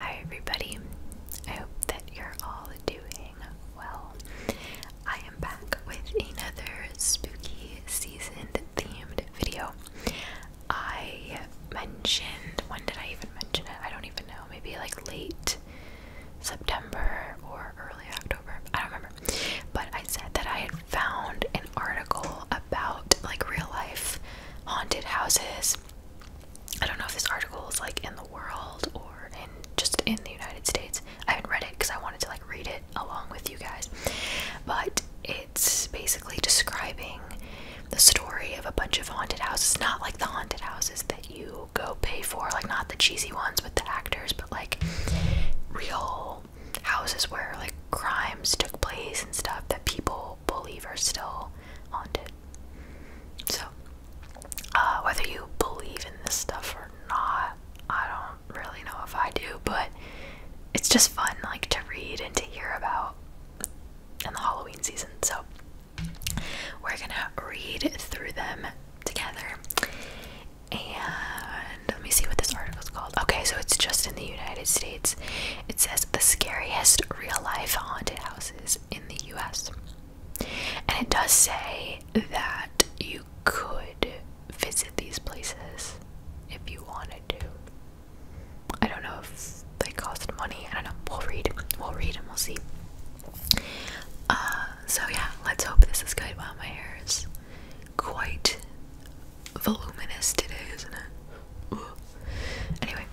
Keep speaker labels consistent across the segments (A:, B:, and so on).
A: Hi, everybody. I hope that you're all doing well. I am back with another spooky season themed video. I mentioned, when did I even mention it? I don't even know, maybe like late September or early October, I don't remember. But I said that I had found an article about like real life haunted houses. I don't know if this article is like in the world or in just in the United States. I haven't read it because I wanted to like read it along with you guys. But it's basically describing the story of a bunch of haunted houses, not like the haunted houses that you go pay for, like not the cheesy ones with the actors, but like real houses where like crimes took place and stuff that people believe are still haunted. So, uh, whether you believe in this stuff or not, I don't really know if I do, but it's just fun like to read and to hear about in the Halloween season. So, we're gonna read through them together. And let me see what this article is called. Okay, so it's just in the United States. It says the scariest real life haunted houses in the US. And it does say that you could visit these places if you wanted to. I don't know if they cost money. I don't know. We'll read. We'll read and we'll see. Uh, so yeah, let's hope this is good. Wow, my hair is quite voluminous today, isn't it? Anyway,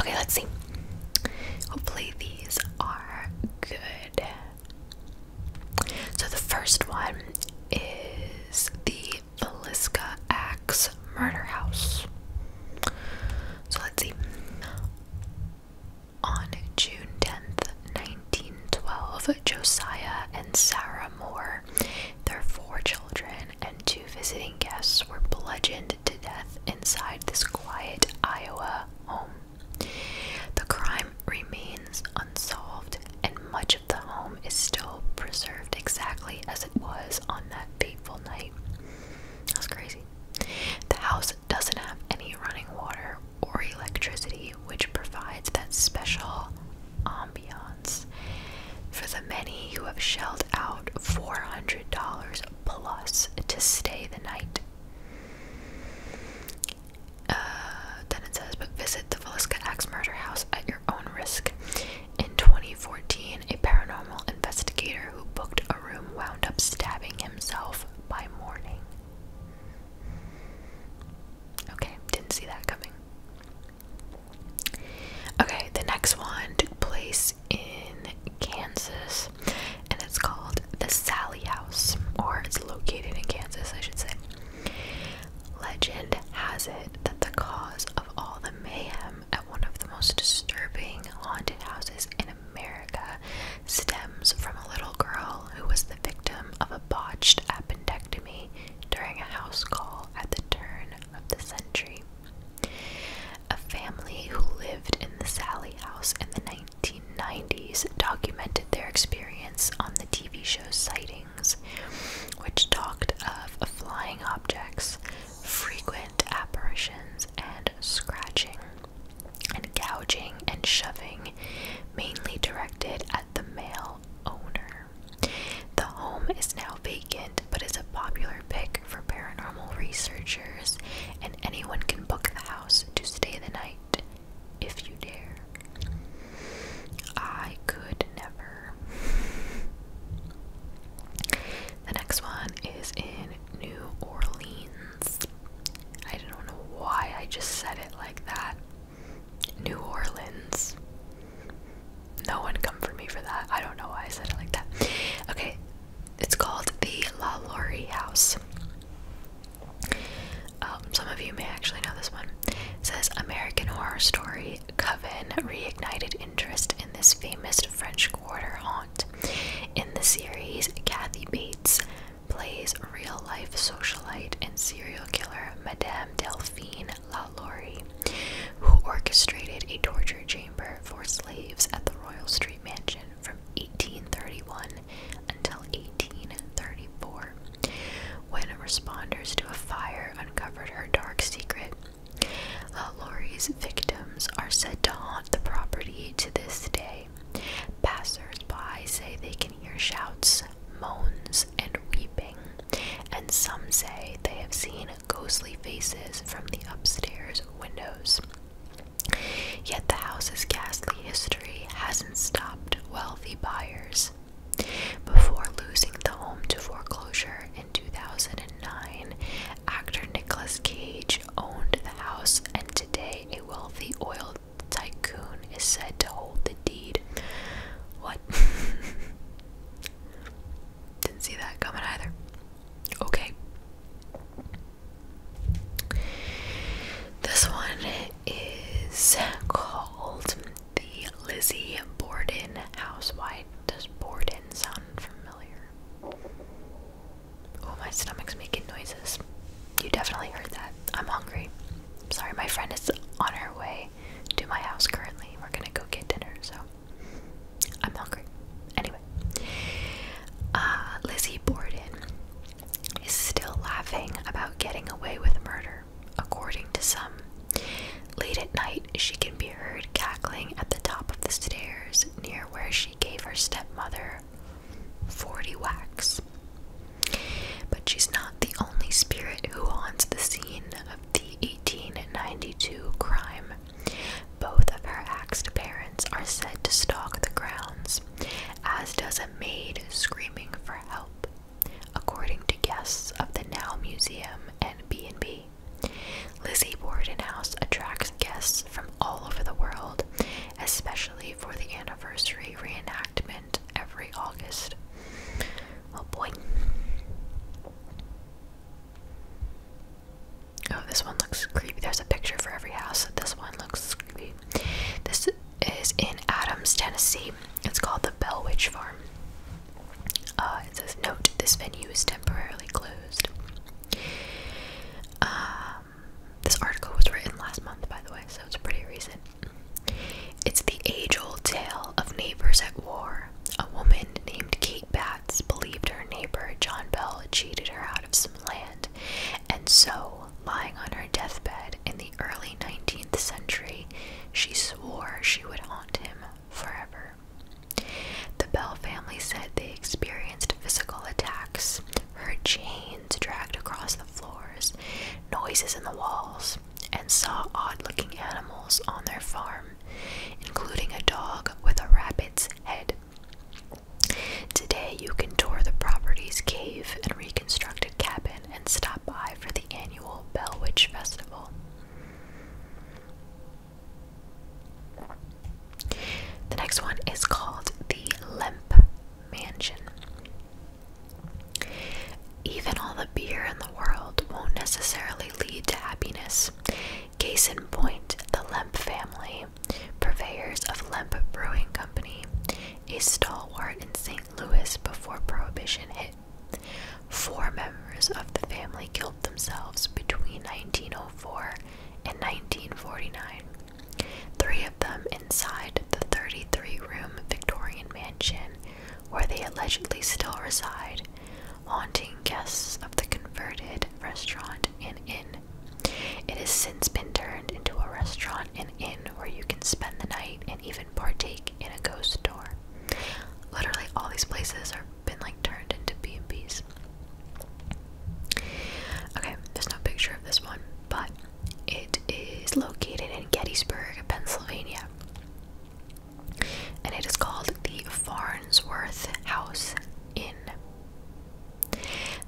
A: okay, let's see. Hopefully, these are good. So, the first one is the Velisca Axe Murder House. So, let's see. On June 10th, 1912, Josiah and Sarah Moore, their four children, and two visiting guests were bludgeoned to death inside this quiet Iowa home. The crime remains unsolved, and much of the home is still preserved exactly as it was on that fateful night. That's crazy. The house doesn't have any running water or electricity, which provides that special ambiance for the many who have shelled out $400 plus to stay the night. Uh, then it says, but visit the Velisca Axe murder house at your own risk. In 2014, a paranormal investigator who booked a room, wound up stabbing himself by morning. Okay, didn't see that coming. Okay, the next one took place in Kansas and it's called the Sally House, or it's located in Kansas, I should say. Legend has it that the cause of all the mayhem crime um, at one of the most disturbing haunted houses in America stems from a little girl who was the victim of a botched appendectomy during a house call at the turn of the century. A family who lived in the Sally House in the 1990s documented their experience on the TV show Sightings, which talked of flying objects, frequent apparitions and scratching and gouging and shoving, mainly directed at the male owner. The home is now vacant but is a popular pick for paranormal researchers, and anyone can book the house to stay the night if you dare. I could never. The next one is in New Orleans. I don't know why I just said it like that. New Orleans. No one come for me for that. I don't know why I said it like that. Okay, it's called the La Laurie House. Um, some of you may actually know this one. says American Horror Story Coven reignited interest in this famous French Quarter haunt. In the series, Kathy Bates plays real life socialite and serial killer Madame Delphine LaLaurie, who orchestrated a torture chamber for slaves at the Royal Street Mansion from 1831 until 1834. When responders to a fire uncovered her dark secret, uh, Lori's victims are said to haunt the property to this day. Passers-by say they can hear shouts, moans, and weeping, and some say they have seen ghostly faces from the upstairs windows. Yet the house's ghastly history hasn't stopped wealthy buyers. Before losing the home to foreclosure, in 2009, actor Nicolas Cage owned the house, and today a wealthy oil tycoon is said to hold the deed. What? Didn't see that coming either. Okay. This one is called the Lizzie Borden Housewife. Does Borden sound unfamiliar. Oh, my stomach's making noises. You definitely heard that. I'm hungry. Sorry, my friend is on her way to my house currently. We're gonna go get dinner, so I'm hungry. Anyway, uh, Lizzie Borden is still laughing about getting away with murder, according to some Late at night, she can be heard cackling at the top of the stairs near where she gave her stepmother 40 whacks. But she's not the only spirit who haunts the scene of the 1892 crime. Both of her axed parents are said to stalk the grounds, as does a maid screaming for help, according to guests of the Now Museum and B&B. Lizzie Borden House attracts guests from all over the world, especially for the anniversary reenactment every August. Oh boy. Oh, this one looks creepy. There's a picture for every house. This one looks creepy. This is in Adams, Tennessee. It's called the Bell Witch Farm. Uh, it says, note, this venue is temporarily closed. Um, this article was written last month, by the way, so it's pretty recent. It's the age old tale of neighbors at war. A woman named Kate Batts believed her neighbor John Bell cheated her out of some land, and so, lying on her deathbed in the early 19th century, she swore she would haunt him forever. The Bell family said they experienced physical attacks, heard chains dragged across the floors, noises in the walls, and saw odd looking animals on their farm, including a dog with a rabbit's head. Today, you can tour the property's cave and reconstructed cabin and stop by for the annual Bell Witch Festival. The next one is called the Lemp Mansion. Even all the beer in the world won't necessarily lead to happiness. Case in point, the Lemp family, purveyors of Lemp Brewing Company, is stalwart in St. Louis before Prohibition hit. Four members of the family killed themselves between 1904 and 1949, three of them inside the 33 room Victorian mansion where they allegedly still reside, haunting guests of the converted restaurant and inn. It has since been turned into a restaurant and inn where you can spend the night and even partake in a ghost store. Literally all these places are been like turned into B&Bs. Okay, there's no picture of this one, but it is located in Gettysburg, Pennsylvania. And it is called the Farnsworth House Inn.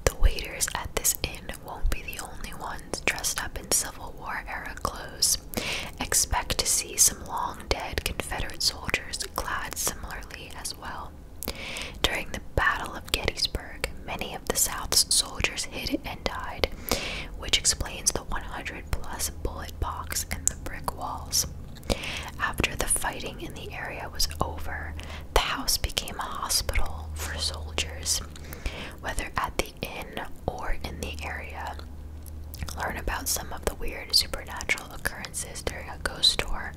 A: The waiters at this inn won't be the only ones dressed up in Civil War era clothes. Expect to see some long dead Confederate soldiers clad similarly as well. During the Battle of Gettysburg, many of the South's soldiers hid and died, which explains the 100 plus bullet box and the brick walls. After the fighting in the area was over, the house became a hospital for soldiers. Whether at the inn or in the area. Learn about some of the weird supernatural occurrences during a ghost tour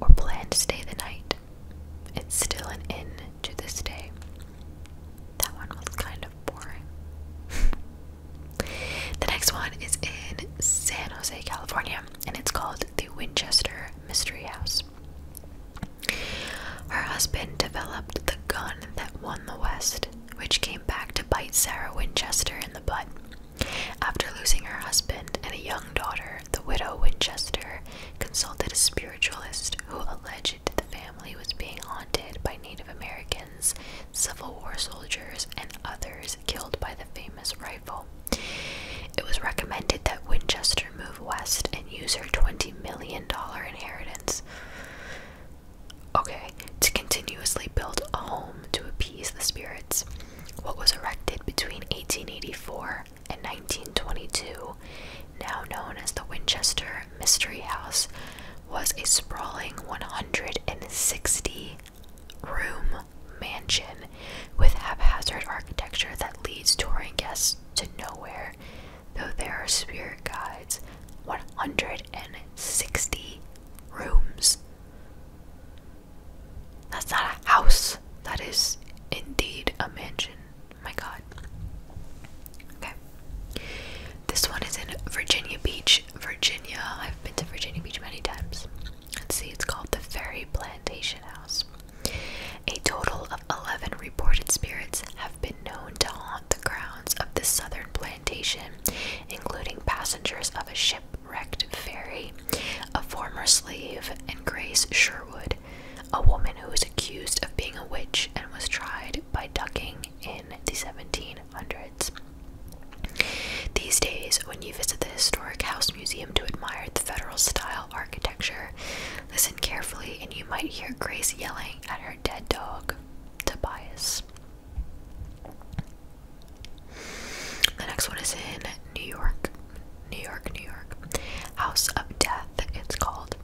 A: or plan to stay the night. It's still an inn to this day. That one was kind of boring. the next one is in San Jose, California, and it's called the Winchester Mystery House. Her husband developed the gun that won the West which came back to bite Sarah Winchester in the butt. After losing her husband and a young daughter, the widow Winchester consulted a spiritualist who alleged the family was being haunted by Native Americans, Civil War soldiers, and others killed by the famous rifle. It was recommended that Winchester move west and use her $20 million inheritance. Okay, to continuously build a home to appease the spirits. What was erected between 1884 and 1922, now known as the Winchester Mystery House, was a sprawling 160 room mansion with haphazard architecture that leads touring guests to nowhere though there are spirit guides, 160 rooms. That's not a house. That is indeed a mansion. My god. Okay. This one is in Virginia Beach, Virginia. I've been to Virginia Beach many times. let see, it's called the Ferry Plantation House. A total of 11 reported spirits have been known to haunt the grounds of this southern plantation, including passengers of a shipwrecked ferry, a former slave, and Grace Sherwood, a woman who was accused of being a witch and was tried by ducking in the 1700s. These days, when you visit the Historic House Museum to admire the federal style architecture, listen carefully and you might hear Grace yelling at her dead dog. Tobias. The next one is in New York. New York, New York. House of Death, it's called.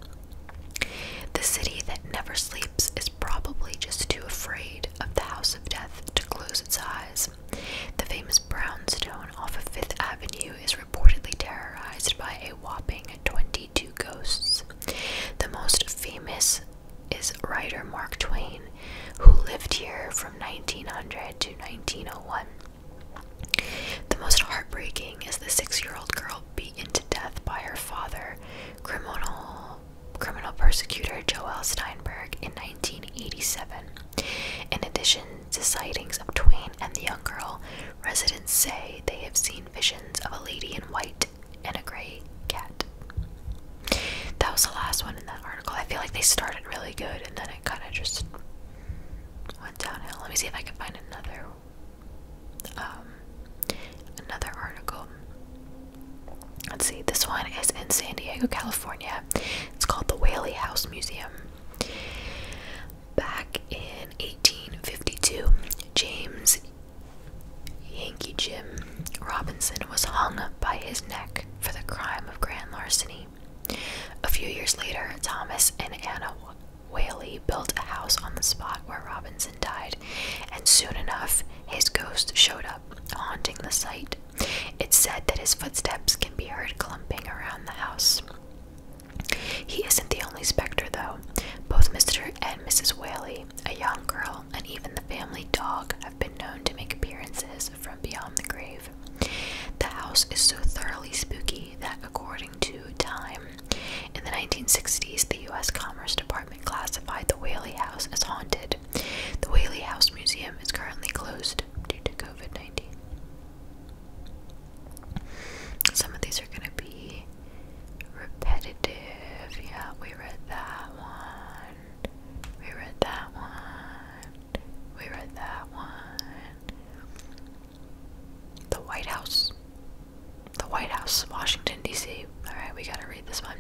A: The city that never sleeps is probably just too afraid of the House of Death to close its eyes. The famous brownstone off of Fifth Avenue is reportedly terrorized by a whopping 22 ghosts the most famous is writer Mark Twain, who lived here from 1900 to 1901. The most heartbreaking is the six-year-old girl beaten to death by her father, criminal criminal persecutor Joel Steinberg, in 1987. In addition to sightings of Twain and the young girl, Residents say they have seen visions of a lady in white and a gray cat. That was the last one in that article. I feel like they started really good and then it kind of just went downhill. Let me see if I can find another um another article. Let's see. This one is in San Diego, California. It's called the Whaley House Museum. Back in 1852, James Yankee Jim Robinson was hung by his neck for the crime of grand larceny. A few years later, Thomas and Anna Whaley built a house on the spot where Robinson died, and soon enough, his ghost showed up, haunting the site. It's said that his footsteps can be heard clumping around the house. He isn't the only spectre, though. Both Mr. and Mrs. Whaley, a young girl, and even the family dog have been known to make appearances from beyond the grave. The house is so thoroughly spooky that, according to Time, in the 1960s, the U.S. Commerce Department classified the Whaley House as haunted. The Whaley House Museum is currently closed due to COVID 19. Some of these are going to be repetitive. Yeah, we read that one. We read that one. We read that one. The White House. The White House, Washington, D.C. Alright, we gotta read this one.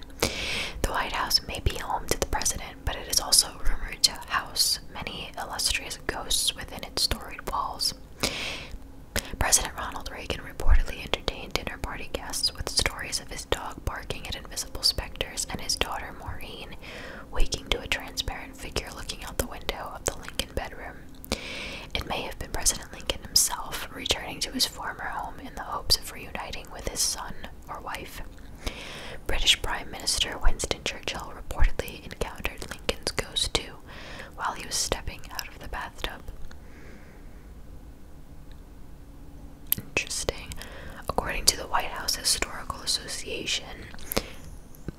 A: The White House may be home to the president, but it is also rumored to house many illustrious ghosts within its storied walls. President Ronald Reagan reportedly entertained dinner party guests with stories of his dog barking at invisible specters and his daughter Maureen waking to a transparent figure looking out the window of the Lincoln bedroom. It may have been President Lincoln himself returning to his former home in the hopes of reuniting with his son or wife. British Prime Minister Winston Churchill reportedly encountered Lincoln's ghost too while he was stepping out of the bathtub. Interesting. According to the White House Historical Association,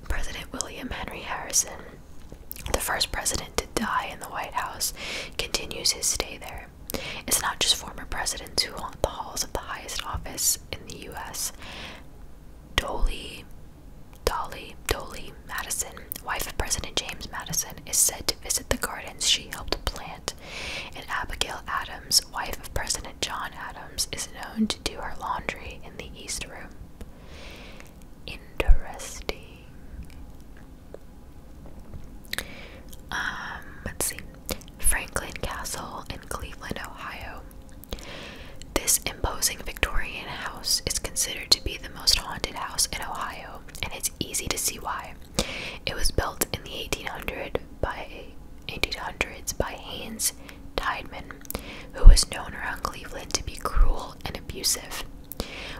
A: President William Henry Harrison, the first president to die in the White House, continues his stay there. It's not just former presidents who haunt the halls of the highest office in the U.S. Dolly, Dolly, Dolly Madison, wife of President James Madison, is said to visit the gardens she helped plant, and Abigail Adams, wife of President John Adams, is known to do her laundry in the East Room. Interesting. Um, let's see. Franklin Castle in Cleveland, Ohio, this imposing Victorian house is considered to be the most haunted house in Ohio, and it's easy to see why. It was built in the 1800s by Haines Tideman, who was known around Cleveland to be cruel and abusive.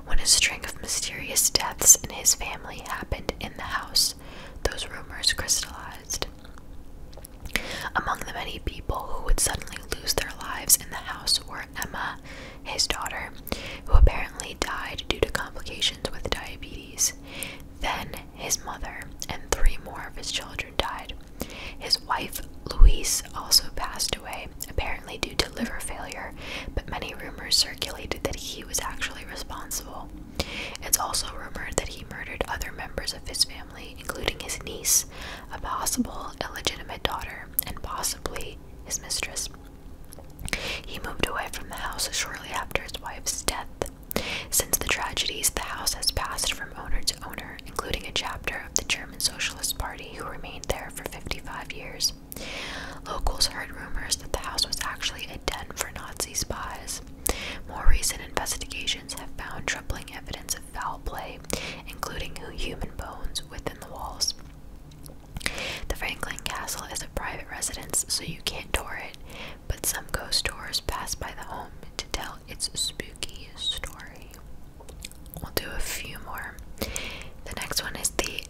A: When a string of mysterious deaths in his family happened in the house, those rumors crystallized. Among the many people who would suddenly lose their lives in the house were Emma, his daughter, who apparently died due to complications with diabetes. Then his mother and three more of his children died. His wife, Louise, also passed away, apparently due to liver failure, but many rumors circulated that he was actually responsible. It's also rumored that he murdered other members of his family, including his niece, a possible illegitimate daughter, and possibly his mistress. He moved away from the house shortly after his wife's death. Since the tragedies, the house has passed from owner to owner, including a chapter of the German Socialist Party who remained there for 55 years. Locals heard rumors that the house was actually a den for Nazi spies. More recent investigations have found troubling evidence of foul play, including human bones within the walls. The Franklin Castle is a private residence, so you can't tour it, but some ghost tours pass by the home to tell its spooky story. We'll do a few more. The next one is the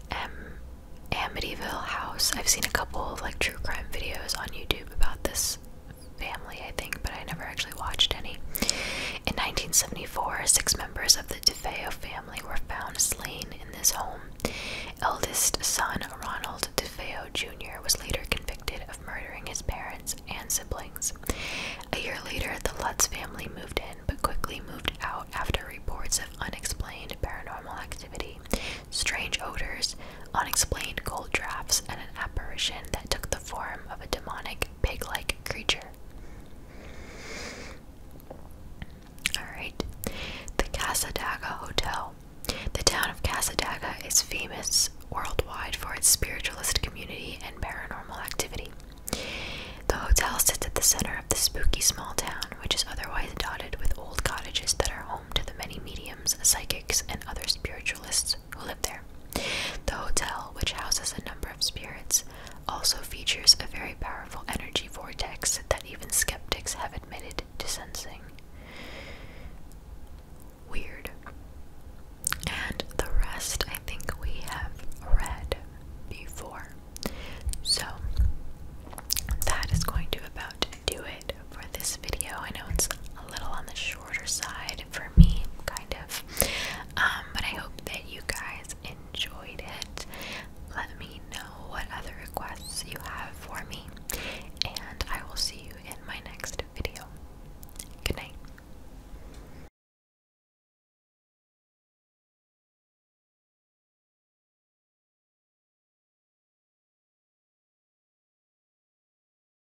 A: Amityville House. I've seen a couple of like true crime videos on YouTube about this Family, I think, but I never actually watched any. In 1974, six members of the DeFeo family were found slain in this home. Eldest son Ronald DeFeo Jr. was later convicted of murdering his parents and siblings. A year later, the Lutz family moved in but quickly moved out after reports of unexplained paranormal activity, strange odors, unexplained cold drafts, and an apparition that took the form of a demonic pig like creature. Alright, the Casadaga Hotel. The town of Casadaga is famous worldwide for its spiritualist community and paranormal activity. The hotel sits at the center of the spooky small town, which is otherwise dotted with old cottages that are home to the many mediums, psychics, and other spiritualists who live there. The hotel, which houses a number of spirits, also features a very powerful energy vortex that even skeptics have admitted to sensing. Weird. And the rest I think we have read before. So, that is going to about do it for this video. I know it's a little on the shorter side, for me, kind of. Um, but I hope that you guys enjoyed it. Let me know what other requests you have for me, and I will see you in my next video. Good night.